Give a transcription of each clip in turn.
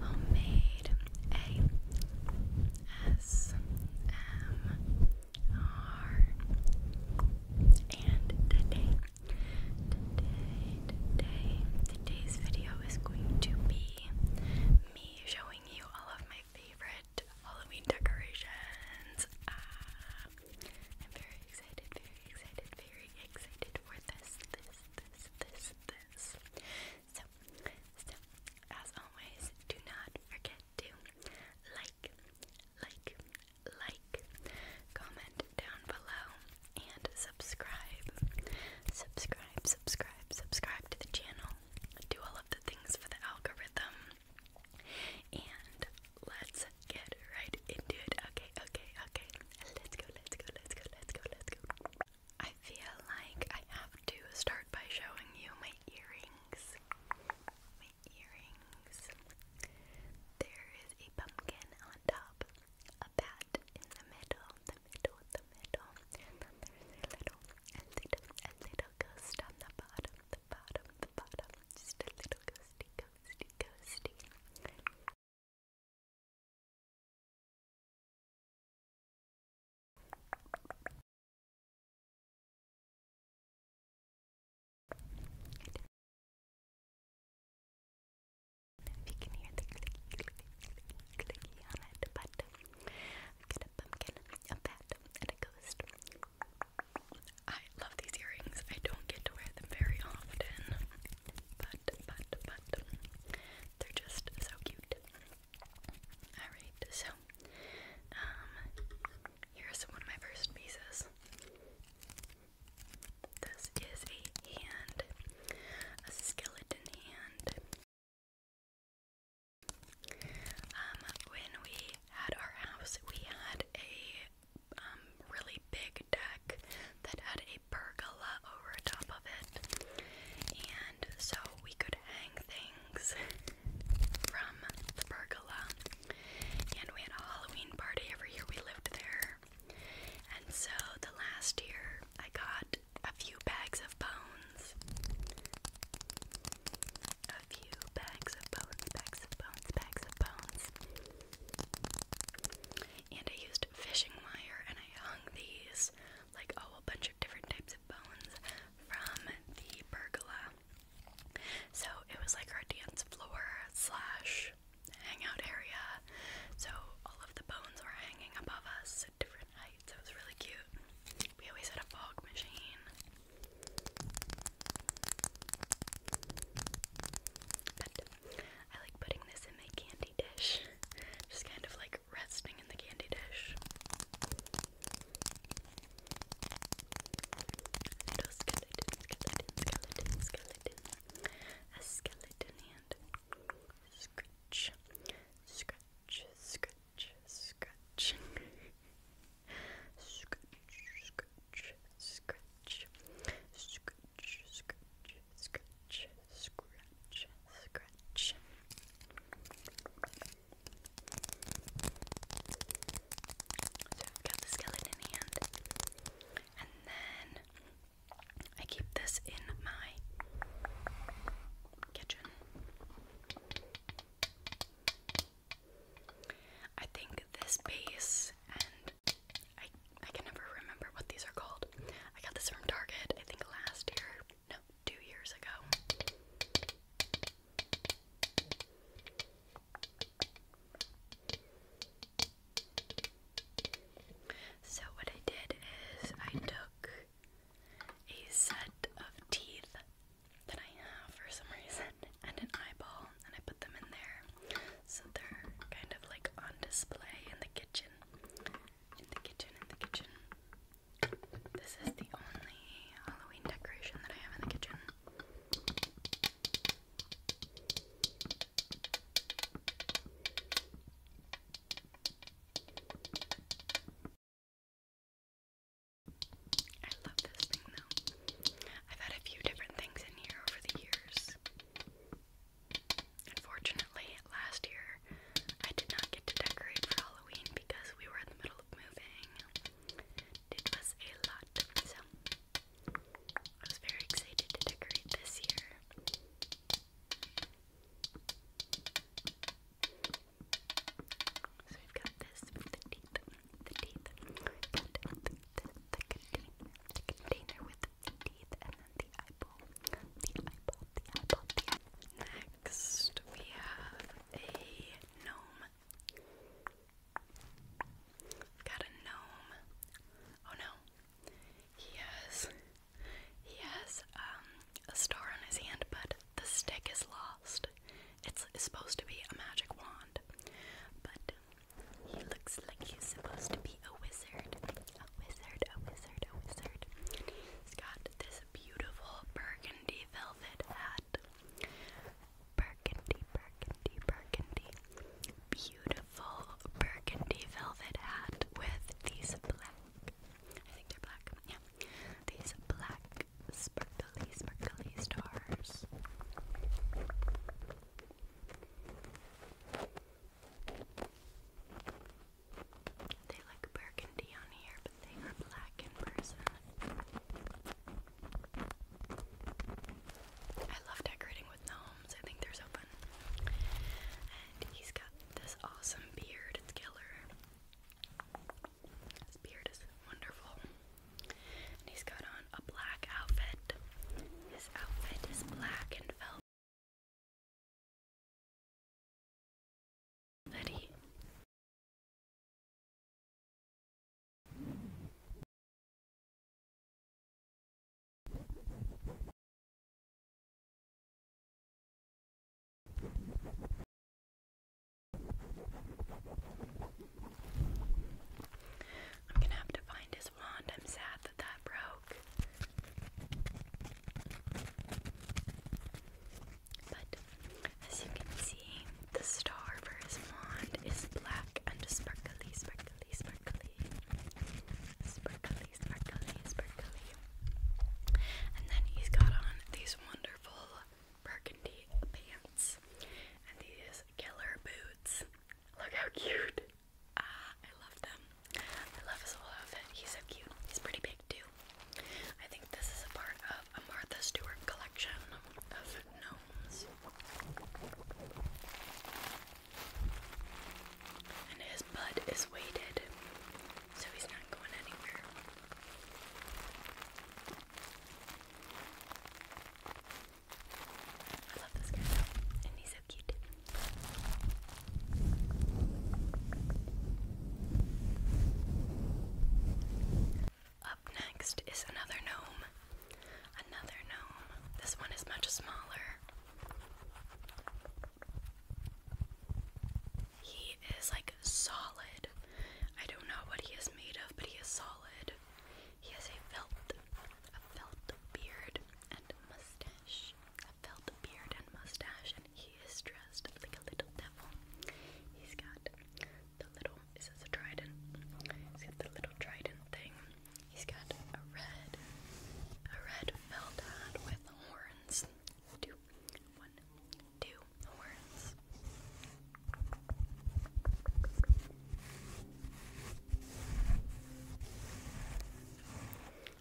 homemade, A S M R. And today, today, today, today's video is going to be me showing you all of my favorite Halloween decorations. Ah, I'm very excited, very excited, very excited for this, this, this, this. So, so, as always, do not forget to like, like, like, comment down below, and subscribe. Subscribe, subscribe, subscribe to the channel. Do all of the things for the algorithm. And let's get right into it. Okay, okay, okay. Let's go, let's go, let's go, let's go, let's go. I feel like I have to start by showing you my earrings. My earrings. There is a pumpkin on top, a bat in the middle, the middle, the middle, and a little, a a little ghost on the bottom, the bottom, the bottom. Just a little ghosty, ghosty, ghosty. If you can hear the clicky, on it, but a pumpkin, a bat, and a ghost. I love these earrings. I don't get to wear them very often. But, but, but, they're just so cute. Alright, so, um, here's one of my first pieces. This is a hand, a skeleton hand. Um, when we had our house, we had a um, really big deck that had a pergola over top of it, and so we could hang things from the pergola. And we had a Halloween party every year we lived there. And so the last year I got a few bags of bones. A few bags of bones, bags of bones, bags of bones. And I used fishing wire and I hung these, like oh, a bunch of different types of bones from the pergola. So it was like our dance floor slash hangout area. So all of the bones were hanging above us at different heights. It was really cute. We always had a fog machine. I like putting this in my candy dish. Just kind of like resting in the candy dish. A skeleton hand. Scratch, scratch, scratch, scratch. scratch, scratch, scratch, scratch, scratch, scratch, scratch, scratch. So I've got the skeleton hand, and then I keep this in my kitchen. I think this base and I I can never remember what these are called. I got this from Target, I think last year. No, two years ago. So what I did is I took a set of teeth that I have for some reason and an eyeball, and I put them in there. So they're kind of like on display in the kitchen. In the kitchen, in the kitchen. This is the only Halloween decoration that I have in the kitchen. I love this thing though. I've had a few different things in here over the years. Unfortunately, last year I did not get to decorate for Halloween because we were in the middle of moving. It was a lot, so I was very excited to decorate this year. So we've got this for the the teeth, and with the, the container, container with the teeth, and then the eyeball, the eyeball, the eyeball, Next, we have a gnome. We've got a gnome. Oh no, he has, he has um a star on his hand, but the stick is lost. It's, it's supposed to be a magic wand, but he looks like he's supposed to be a wizard. A wizard, a wizard, a wizard. He's got this beautiful burgundy velvet hat. Burgundy, burgundy, burgundy. Beautiful burgundy velvet hat with these black. I think they're black. Yeah. These black sparkly, sparkly stars. They look burgundy on here, but they are black in person. I love decorating with gnomes. I think they're so fun. And he's got this awesome beard. It's killer. His beard is wonderful he's got on a black outfit. His outfit is black and velvet. I'm gonna have to find his wand. I'm sad that that broke. But as you can see, the star for his wand is black and sparkly, sparkly, sparkly. Sparkly, sparkly, sparkly. And then he's got on these wonderful burgundy pants and these killer boots. Look how cute! Ah, I love them. I love his whole outfit. He's so cute. He's pretty big too. I think this is a part of a Martha Stewart collection of gnomes. And his bud is weighted, so he's not going anywhere. I love this guy and he's so cute. Up next is another gnome. Another gnome. This one is much smaller. He is like solid. I don't know what he is made of, but he is solid. He has a felt, a felt beard and mustache. A felt beard and mustache, and he is dressed like a little devil. He's got the little, is this a trident? He's got the little trident thing. He's got a red, a red felt hat with horns. Two, one, two,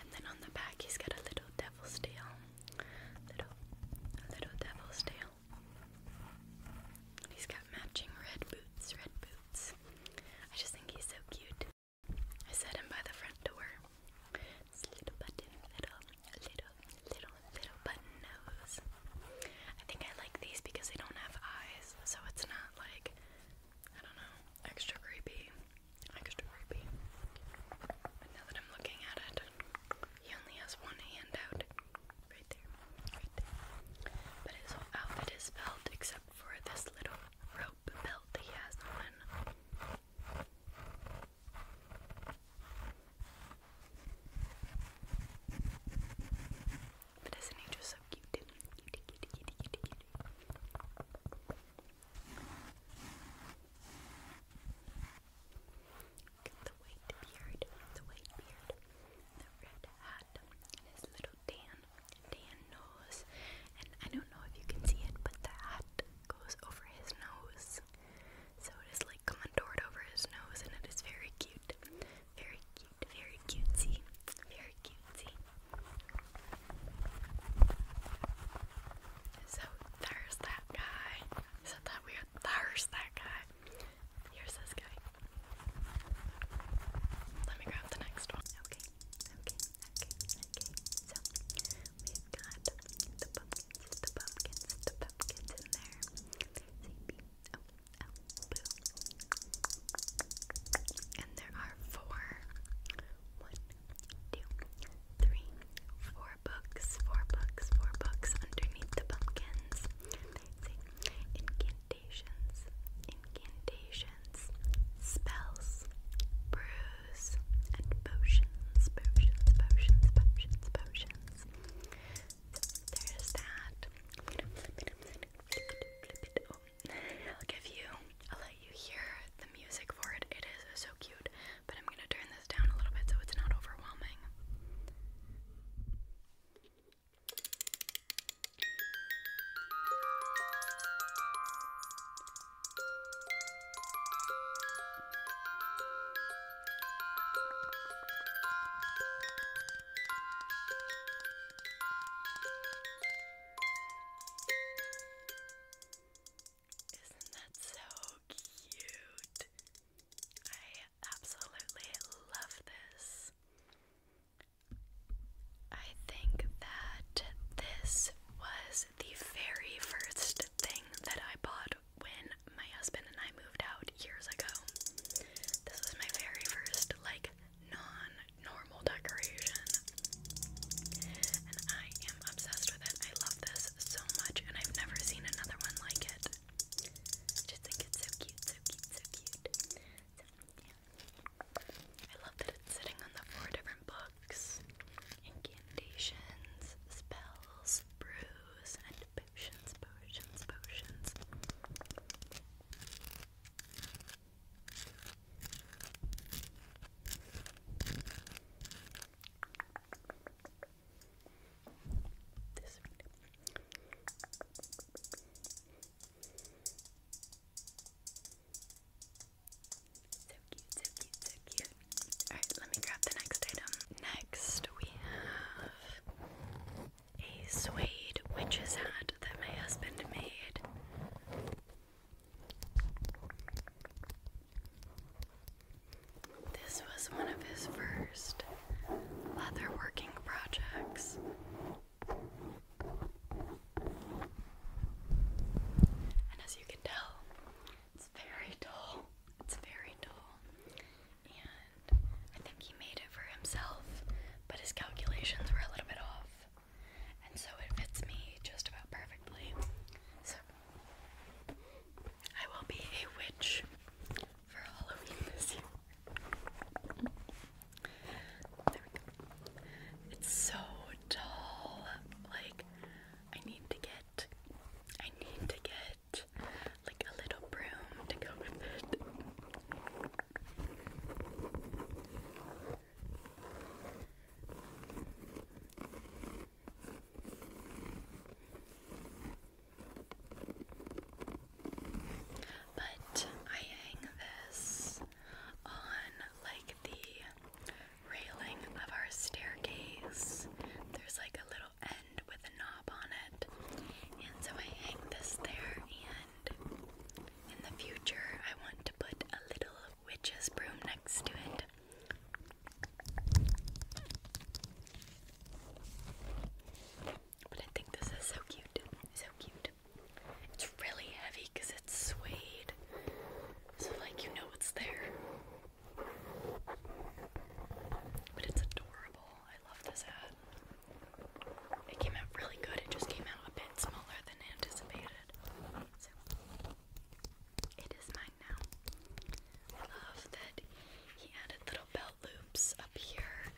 and then on the back, he's got a little devil's tail. Little, little devil's tail. he's got matching red boots, red boots. I just think he's so cute. I set him by the front door. little little, little little, little, button nose. I think I like these because they don't have eyes, so it's not like, I don't know, extra creepy. Extra creepy. But now that I'm looking at it, he only has one hand out. Right there. Right there. But his outfit is felt except for this little rope belt he has on. But isn't he just so cute? Look at the white beard, the white beard, the red hat, and his little tan, tan nose. And I don't know if you can see it, but the hat goes over his nose. So it is like contoured over his nose, and it is very cute. Very cute, very cutesy. Very cutesy. So there's that guy. Is that weird? There's that guy. Here's this guy. Let me grab the next one. Okay, okay, okay, okay. So we've got the pumpkins, the pumpkins, the Oh, oh, and there are four. One, books, four books, four books underneath the pumpkins. incantations, incantations, spells, brews, and potions, potions, potions, potions, potions. There's that. I'll give you, I'll let you hear the music for it. It is so cute, but I'm gonna turn this down a little bit so it's not overwhelming. Isn't that so cute? I absolutely love this. I think that this was the very first thing that I bought when my husband and I moved out years ago. This was my very first, like, non normal decoration. And I am obsessed with it. I love this so much, and I've never seen another one like it. just think it's so cute, so cute, so cute. I love that it's sitting on the four different books incantations, spells, brews, and potions, potions, potions. So cute, so cute, so cute. Alright, let me grab the next item. Next, we have a suede witch's hat that my husband made. This was one of his first leatherworking projects. And as you can tell, it's very tall. It's very dull, and I think he made it for himself, but his calculations were a little bit off, and so it fits me just about perfectly. So, I will be a witch for Halloween this year. There we go. It's so dull. Like, I need to get I need to get like a little broom to go with it. But I hang this on like the railing of our staircase. There's like a little end with a knob on it. And so I hang this there, and in the future, I want to put a little witch's broom next to it. But I think this is so cute. So cute. It's really heavy because it's suede. So, like, you know what's there. But it's adorable. I love this ad. It came out really good. It just came out a bit smaller than anticipated. So it is mine now. I love that he added little belt loops up here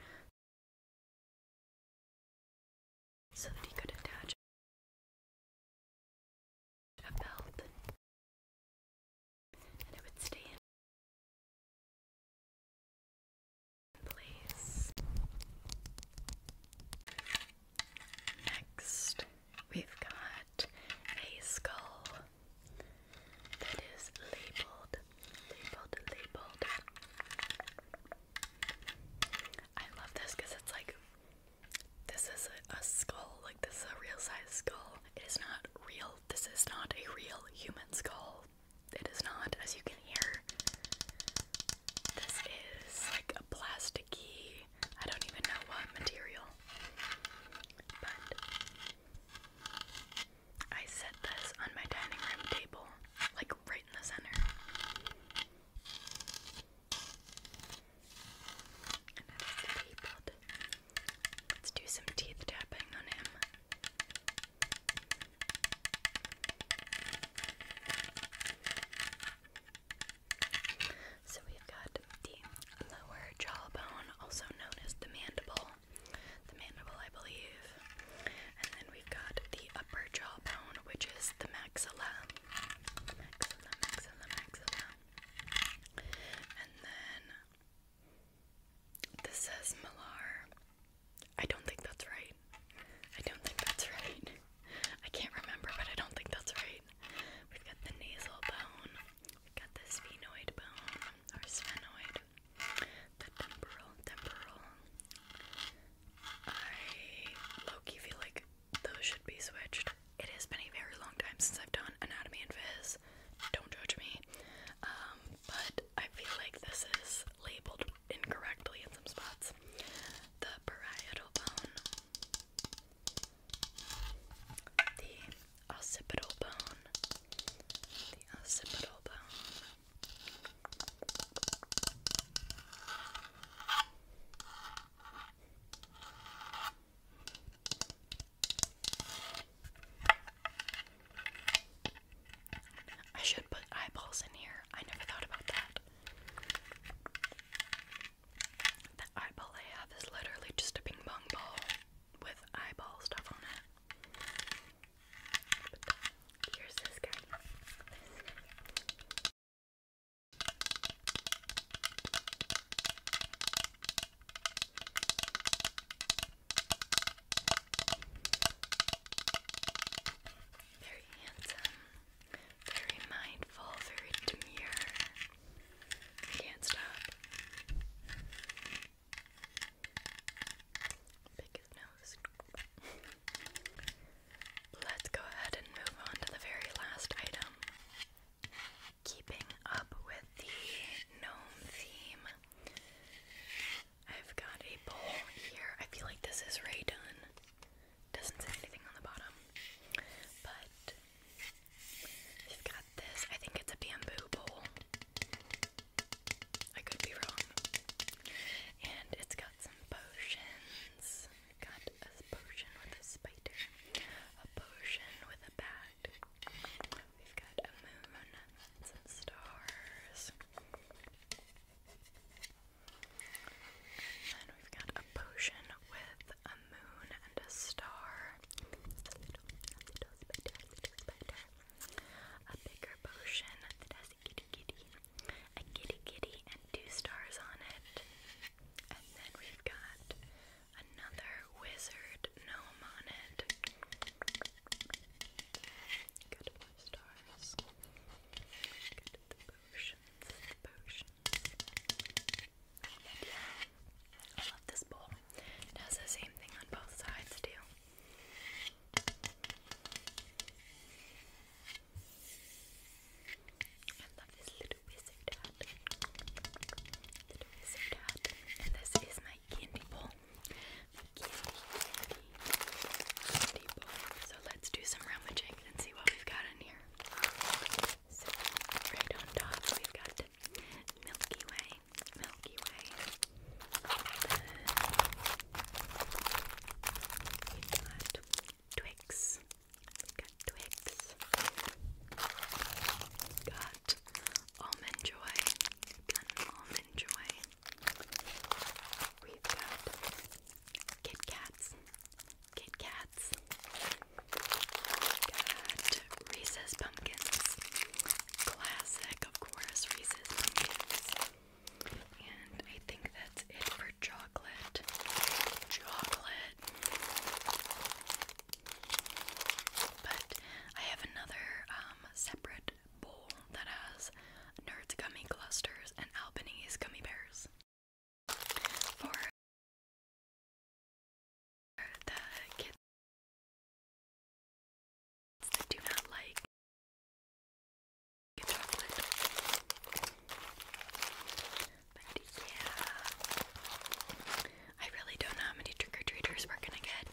so that he could attach of health, and it would stay in place. Next, we've got a skull that is labeled, labeled, labeled. I love this because it's like this is a, skull, like this is a real size skull. It is not real. This is not a real human skull. It is not, as you can hear. This is like a plasticky, I don't even know what material. But I set this on my dining room table, like right in the center. Let's do some teeth tapping on him. So we've got the lower jawbone, also known as the mandible. The mandible, I believe. And then we've got the upper jawbone, which is the maxilla. Maxilla, maxilla, maxilla. And then this says Millar. I don't think that's right. I don't think that's right. I can't remember, but I don't think that's right. We've got the nasal bone. We've got the sphenoid bone or sphenoid. The temporal, temporal. I Loki feel like those should be switched. It has been a very long time since I've done anatomy and phys. Don't judge me. Um, but I feel like this is labeled incorrectly in some spots. The parietal bone, the occipital bone, the occipital bone. I should put eyeballs in here. I never thought about that. The eyeball I have is literally just a ping pong ball with eyeball stuff on it. here's This guy. Very handsome, very mindful, very demure. Can't stop. Pick his nose. Let's go ahead and move on to the very last item. Keeping up with the gnome theme, I've got a bowl here. I feel like this is Ray Dunn. Doesn't say anything on the bottom, but we've got this. I think it's a bamboo bowl. I could be wrong. And it's got some potions. Got a potion with a spider, a potion with a bat. We've got a moon, some stars. then we've got a potion with a moon and a star. A little, spider, a little spider. A bigger potion that has a kitty kitty, a kitty kitty, and two stars on it. And then we've got another wizard gnome on it. Good stars. Good potions. potions. I love this bowl. It has the same thing on both sides too. I love this little wizard hat. Little wizard hat. And this is my candy bowl. My candy, candy, So let's do some rummaging and see what we've got in here. So right on we've got Milky Way. Milky Way. we've got Twix. We got Twix. We got Almond Joy. have got Almond Joy. We've got Kit Kats. Kit Kats. Got Reese's Pumpkins. Classic, of course, Reese's Pumpkins. And I think that's it for chocolate. Chocolate. But I have another um, separate bowl that has Nerds Gummy Clusters and Albanese Gummy Bears. For the kids that do not like yeah, I really don't know how many trick or treaters we're gonna get.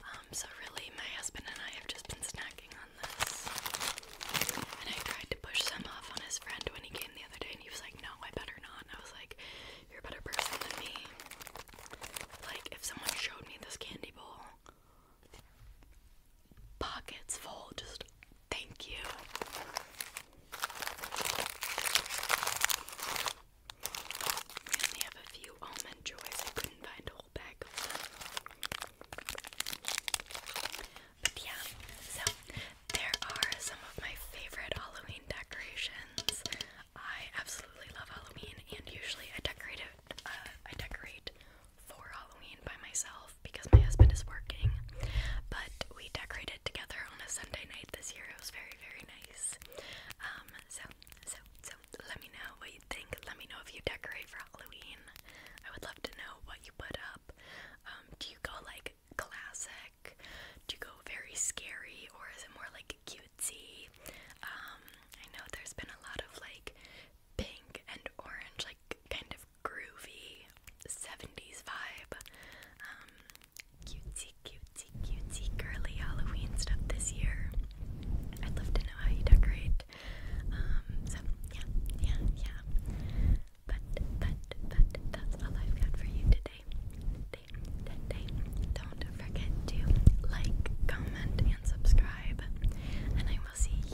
Um, so really, my husband and I have just been snacking on this. And I tried to push some off on his friend when he came the other day, and he was like, "No, I better not." And I was like, "You're a better person than me." Like, if someone showed me this candy bowl, pockets full. Just thank you. We only have a few almond joys. I couldn't find a whole bag of them. But yeah, so there are some of my favorite Halloween decorations. I absolutely love Halloween, and usually I decorate uh, I decorate for Halloween by myself because my husband is working. But we decorated together on a Sunday night this year. It was very, very nice. Um, so, so, so let me know what you think. Let me know if you decorate for Halloween. I would love to know what you put up. Um, do you go like classic? Do you go very scary or is it more like cutesy? Um, I know there's been a lot of like pink and orange, like kind of groovy 70s vibe. Um, cutesy, cutesy, cutesy, girly Halloween stuff this year. I'd love to know how you decorate. Um, so yeah, yeah, yeah. But, but, but that's all I've got for you today. Today, today. Don't forget to like, comment, and subscribe. And I will see